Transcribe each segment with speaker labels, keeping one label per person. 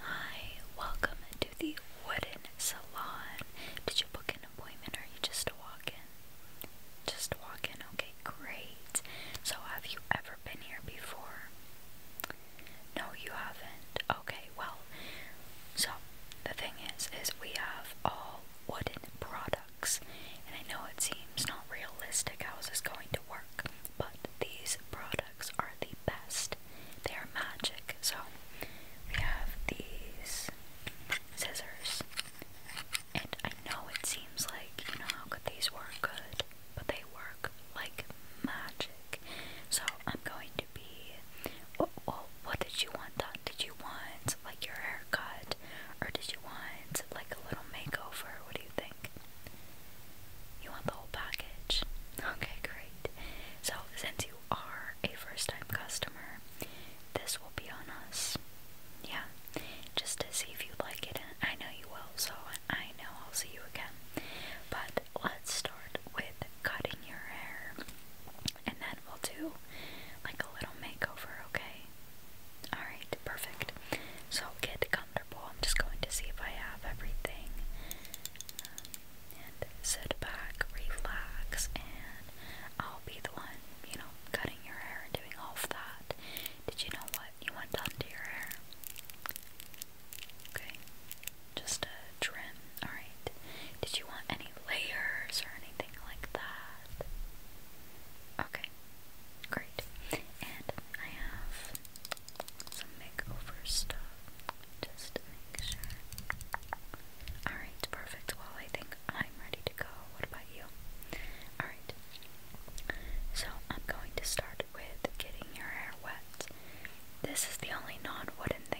Speaker 1: Hi, welcome to the Wooden Salon. Did you book an appointment or you just walk in? Just walk in, okay, great. So, have you ever been here before? No, you haven't. Okay, well, so the thing is, is we have all wooden products. And I know it seems not realistic how is this going to work, but these products are the best. They are magic. So we have these scissors. And I know it seems like, you know, how could these work good? But they work like magic. So I'm going to be well, what did you want done? Did you want like your haircut or did you want like a little makeover? What do you think? You want the whole package? Okay, great. So since you are a first time customer, this will be on us. Yeah. Just to see if you like it I know you will, so I know I'll see you again. But let's start with cutting your hair and then we'll do like a little makeover, okay? Alright, perfect. So get comfortable. I'm just going to see if I have everything. Um, and sit back, relax, and I'll be the one, you know, cutting your hair and doing all of that. Did you know what you want done to your hair? Okay, just a trim. Alright. Did you want any layers or anything like that. Okay, great. And I have some makeover stuff just to make sure. Alright, perfect. Well, I think I'm ready to go. What about you? Alright, so I'm going to start with getting your hair wet. This is the only non wooden thing.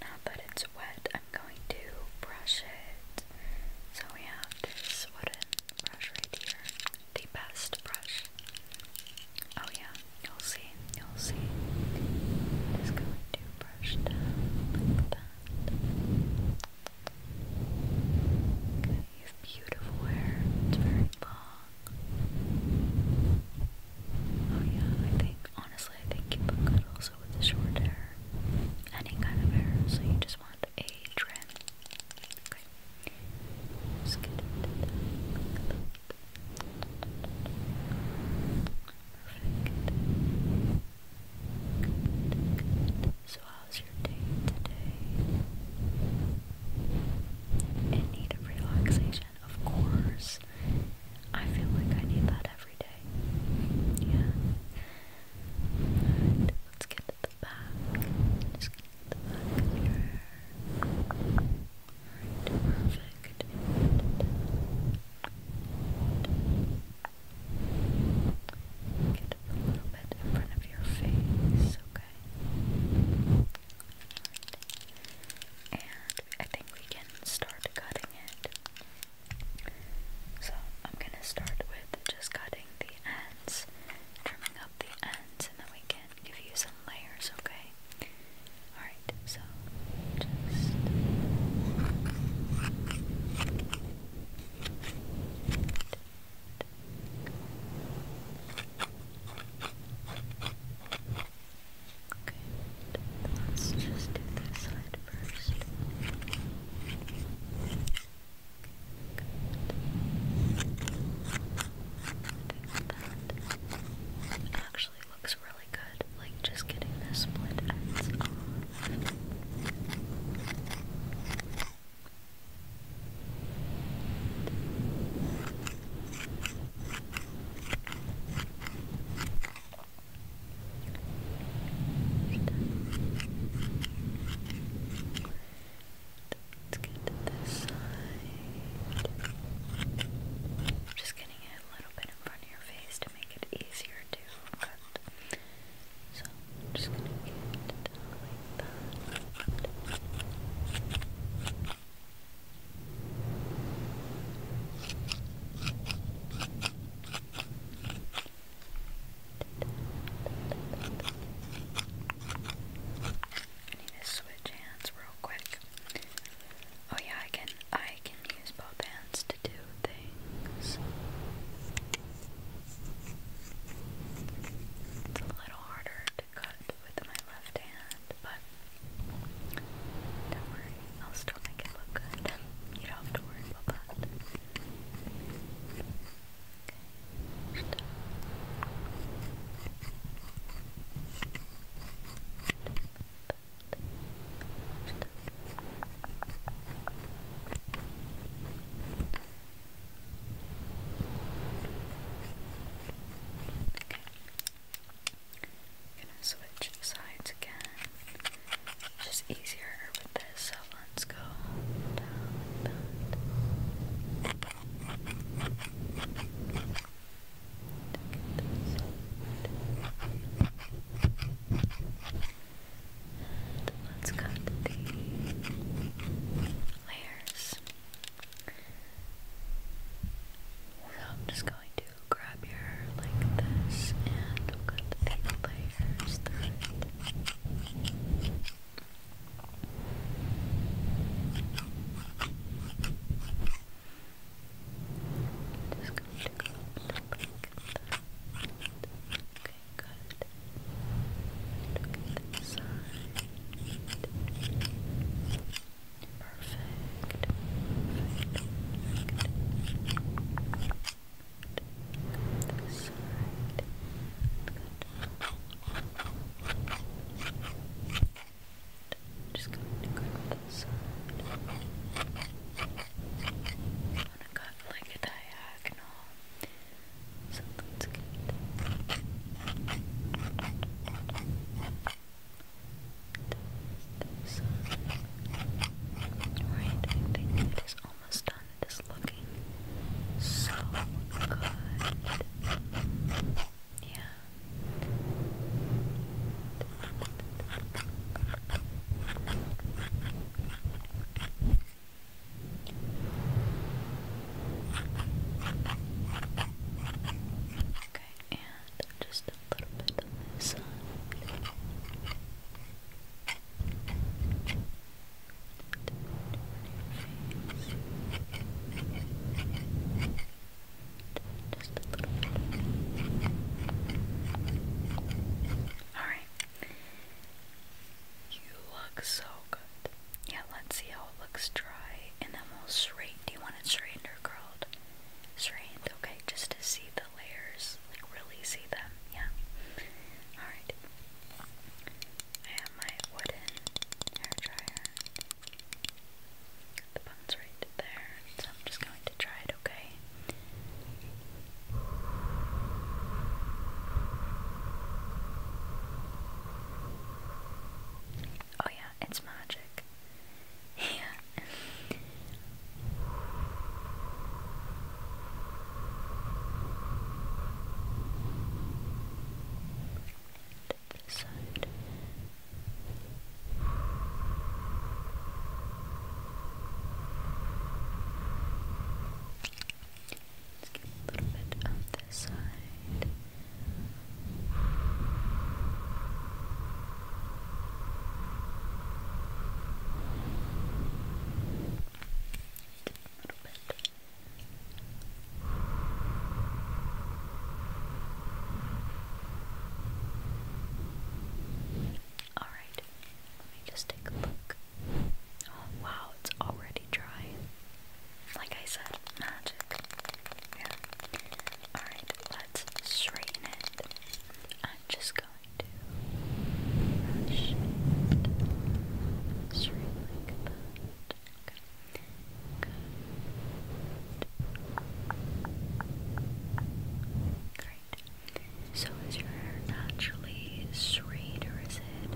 Speaker 1: Now that it's wet, I'm going to brush it. So we have this wooden brush right here. The best brush. Oh yeah, you'll see, you'll see. just going to brush down like that. Okay, beautiful hair. It's very long. Oh yeah, I think honestly I think you look good all with the short hair, any kind of hair, so you just want a trim. Okay. Just get Perfect. Good, good. So how's your day today? In need of relaxation of course. I feel like I need that every day. Yeah. let's get to the back. Just get the back perfect. Get a little bit in front of your face, okay? And I think we can start cutting it. So I'm gonna start with just cutting the ends, trimming up the ends, and then we can give you some layers, okay? Alright, so just. Okay, let's just do this side first. actually looks really good, like just getting the split ends Let's get to this side. I'm just getting it a little bit in front of your face to make it easier to cut. So I'm just gonna get it like that. I need to switch hands real quick. Oh yeah, I can I can use both hands to do things. It's a little harder to cut with my left hand, but don't worry, I'll still make it look good. You don't have to worry about that. I'm gonna switch sides again. just easier with this, so let's go let's cut the layers. I'm just going to to grab your like this and cut the layers Just going to go up like that. Okay, good. Look the side. Perfect. Perfect. Perfect. This side. Good. Just going to cut like a diagonal. So that's good right? it is almost done. It is looking so good. Yeah. Okay, and just a little bit on this Alright. You look so good. Yeah, let's see how it looks dry and then we'll straighten. Do you want it straightened or curled? Straightened, okay, just to see the layers, like really see them, yeah. Alright. I have my wooden hair dryer. The button's right there, so I'm just going to try it, okay? Oh yeah, it's magic. Yeah. Let's get a little bit of this side. All right, let me just take a look. Oh wow, it's already dry. Like I said, magic. Yeah. Alright, let's straighten it. I'm just going to brush it Good. Great. So is your hair naturally straight or is it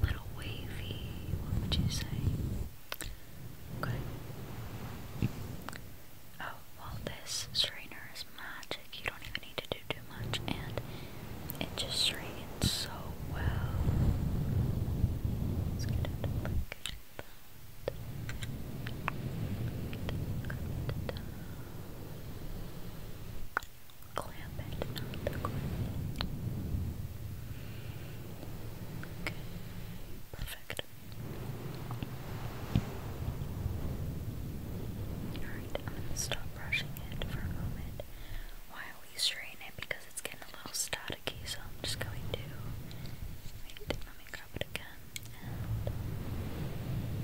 Speaker 1: a little wavy? What would you say? Okay. Oh, well, this strainer is magic. You don't even need to do too much, and it just straightens so well. Let's get it like that. Clamp it, not the clamp. Okay, perfect. Alright, I'm gonna stop brushing it for a moment while we strain it because it's getting a little staticky, so I'm just going to wait, let me grab it again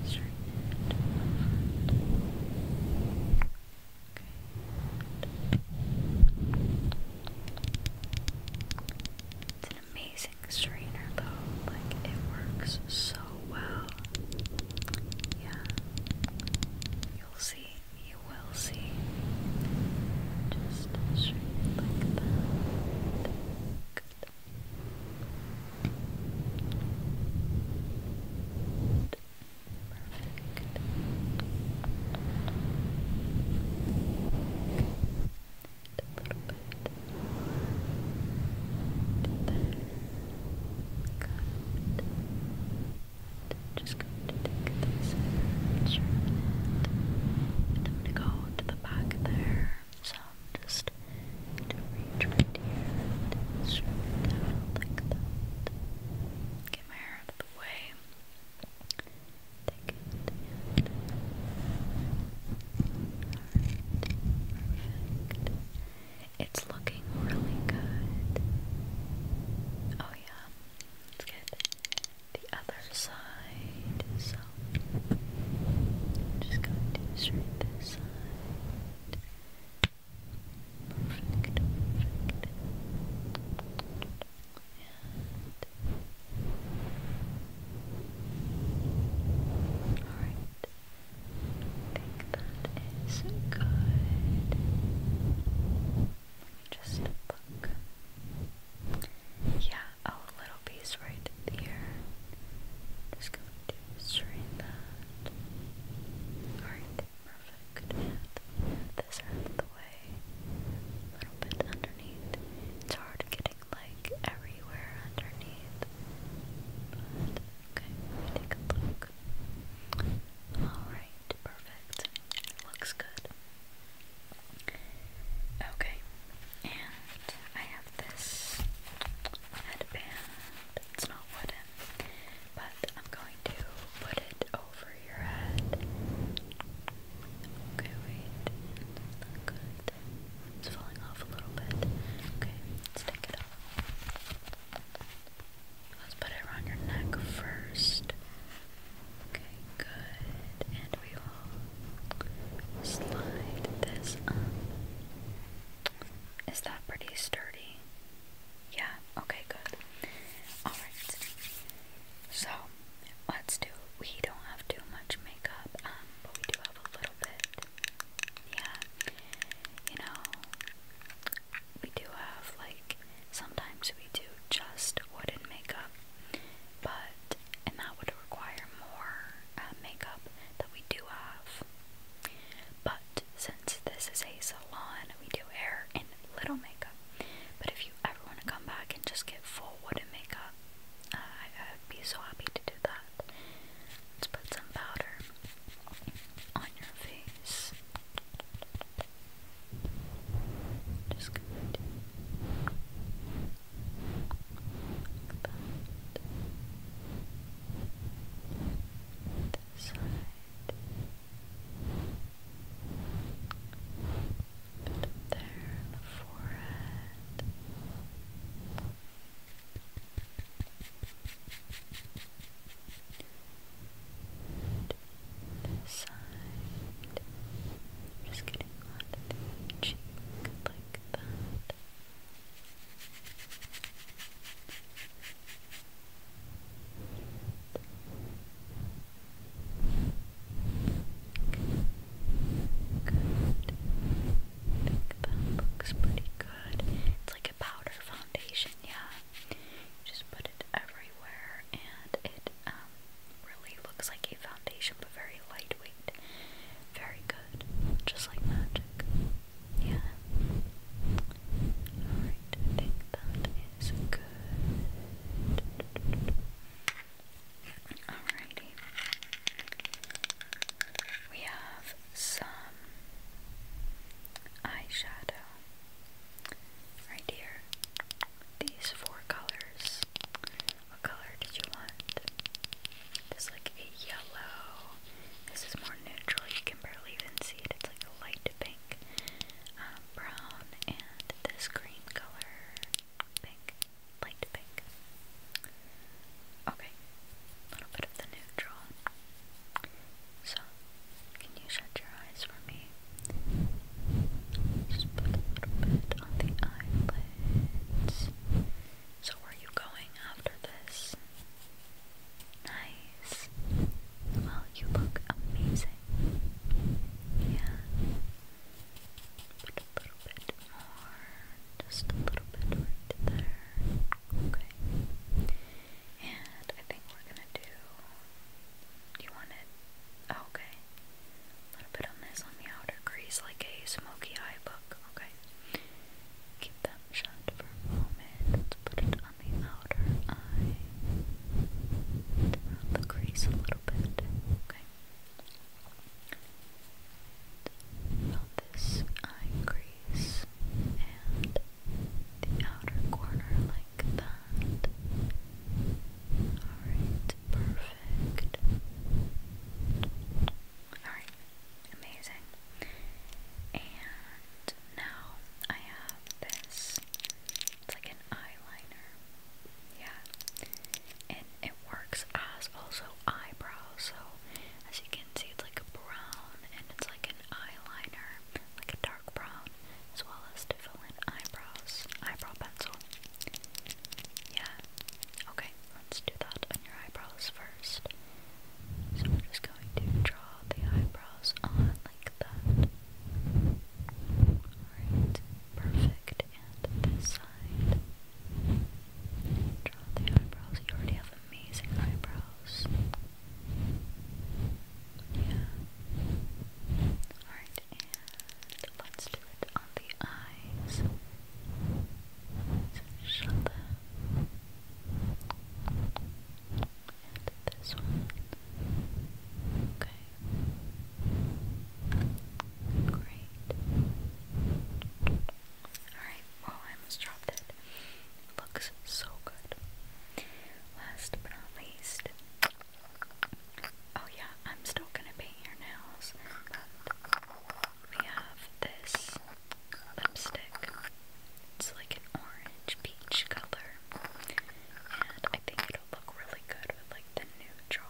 Speaker 1: strain it Okay amazing strainer though. Like it works so well. Yeah. You'll see. You will see. Just straight like that. Perfect a little just going to take this I'm gonna go to the back there. So I'm just to reach right here and it like that. Get my hair out of the way. Take it it's looking really good. Oh yeah. Let's the other side. So just going to straight this side. Perfect. Perfect. And Alright. I think that is good. Let me just look. Yeah, a little piece right here. Just going to straighten that. Alright, perfect. this out of the way. A little bit underneath. It's hard getting like everywhere underneath. okay, take a look. Alright, perfect. Looks good. Okay, and I have this headband. It's not wooden, but I'm going to put it over your head. Okay, wait. That's good. It's falling off a little bit. Okay, let it off. Let's put it around your neck first. Okay, good. And we will slide this Is that pretty sturdy? Yeah, okay, good. Alright. So, let's do we don't have too much makeup, um, but we do love a little bit. Yeah. You know, we do have, like, sometimes we do just wooden makeup, but, and that would require more uh, makeup that we do have. But since this is a salon, we do hair and little makeup. But if you ever want to come back and just get full wooden makeup, uh, I, I'd be so happy to do that. Let's put some powder on your face. Just gonna do This side. Bit there in the forehead this side. just getting on the like that. Good. think that looks pretty good. It's like a powder foundation, yeah. just put it everywhere and it um really looks like a foundation but very lightweight. Very good. Just like magic. Yeah. Alright, think that is good. Alrighty. We have some eyeshadow right here. These four colors. What color did you want? This like a yellow. This is more neutral. You can barely even see it. It's like a light pink, um, brown, and this green color, pink light pink. Okay, a little bit of the neutral. So, can you shut your eyes for me? Just put a little bit on the eyelids. So, where are you going after this? Nice. Well, you look amazing. Yeah. Put a little bit more, just a little bit right there. Okay. And I think we're gonna do. You want it? okay. A little bit on this, on the outer crease, like a smoky eye book. Okay. Keep that shut for a moment. put it on the outer eye. the crease a little bit. Okay. From this eye crease and the outer corner like that. Alright, perfect. Alright, amazing. And now I have this. It's like an eyeliner. Yeah and it works as also eyebrows. So as you can see, it's like a brown, and it's like an eyeliner, like a dark brown, as well as to fill in eyebrows, eyebrow pencil. Yeah. Okay, let's do that on your eyebrows first. So we're just going to draw the eyebrows on like that. Alright, perfect and this side. Draw the eyebrows. You already have amazing eyebrows. Yeah. Alright, and let's do it on the eyes. shut them. And this one. Okay. Great. Alright, well, I almost dropped it. Looks so good. Last but not least. Oh, yeah, I'm still gonna paint your nails. we have this lipstick. It's like an orange peach color. And I think it'll look really good with like the neutral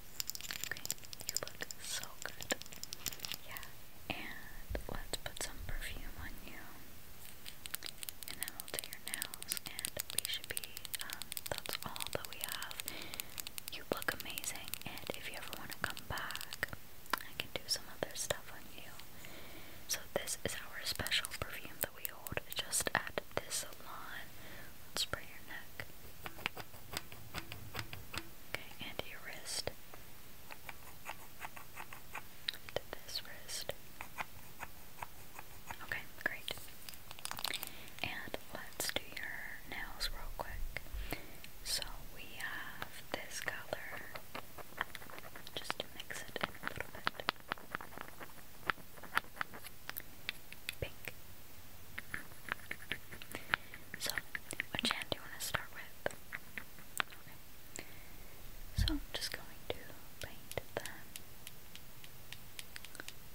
Speaker 1: you look so good. Yeah, and let's put some perfume on you. And then we'll do your nails, and we should be, um, that's all that we have. You look amazing, and if you ever want to come back, I can do some other stuff on you. So, this is our special perfume that we hold just add this salon. spray your neck. Okay, and your wrist. And this wrist. Okay, great. And let's do your nails real quick. So we have this color just mix it in a little bit. Pink. So, which hand do you want to start with? So, I'm just going to paint them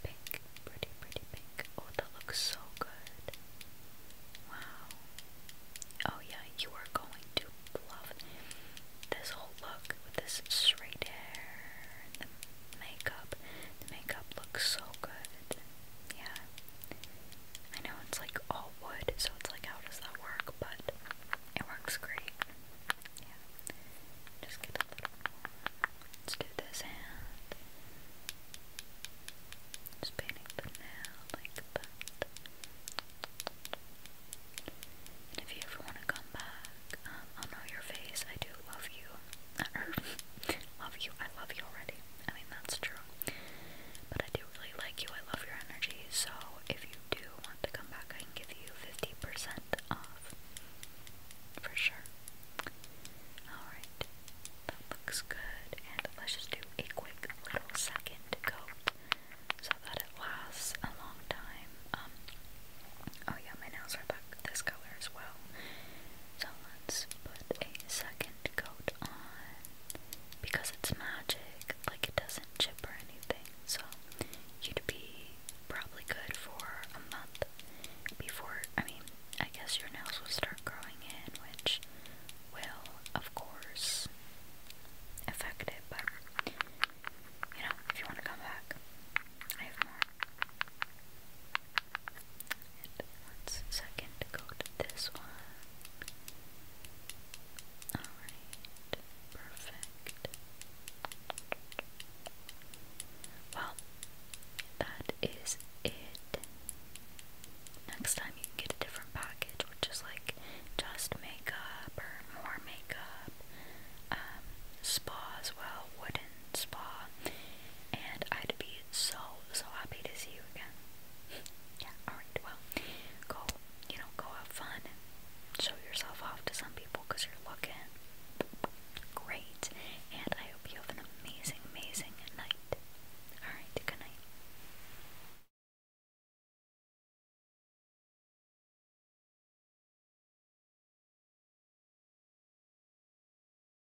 Speaker 1: pink. Pretty, pretty pink. Oh, that looks so good. Wow. Oh, yeah, you are going to love this whole look with this straight hair and the makeup. makeup looks so good. Yeah, I know it's like all wood, so it's like, how does that work? But it works great. Yeah. Just get a little Let's do this hand. Just painting the nail like that. if you ever want to come back, um, I'll know your face. I do love you. love you. I love you already. I mean, that's true. But I do really like you. I love your energy. So if you do want to come back, I can give you 50% off. For sure. Alright. That looks good. And let's just do a quick little second coat so that it lasts a long time. Um, oh yeah, my nails are back this color as well. So let's put a second coat on because it's magic, like it doesn't chip or anything. So you'd be probably good for a month before, I mean, I guess your nails will start growing in, which will, of course, affect it. But, you know, if you want to come back, I have more. And second go to this one. Alright, perfect. Well, that is it. Next time you can get a different package, which is like just makeup or more makeup, um, spa as well, spa, and I'd be so, so happy to see you again. yeah, alright, well, go, you know, go have fun show yourself off to some people because you're looking great, and I hope you have an amazing, amazing night. Alright, good night.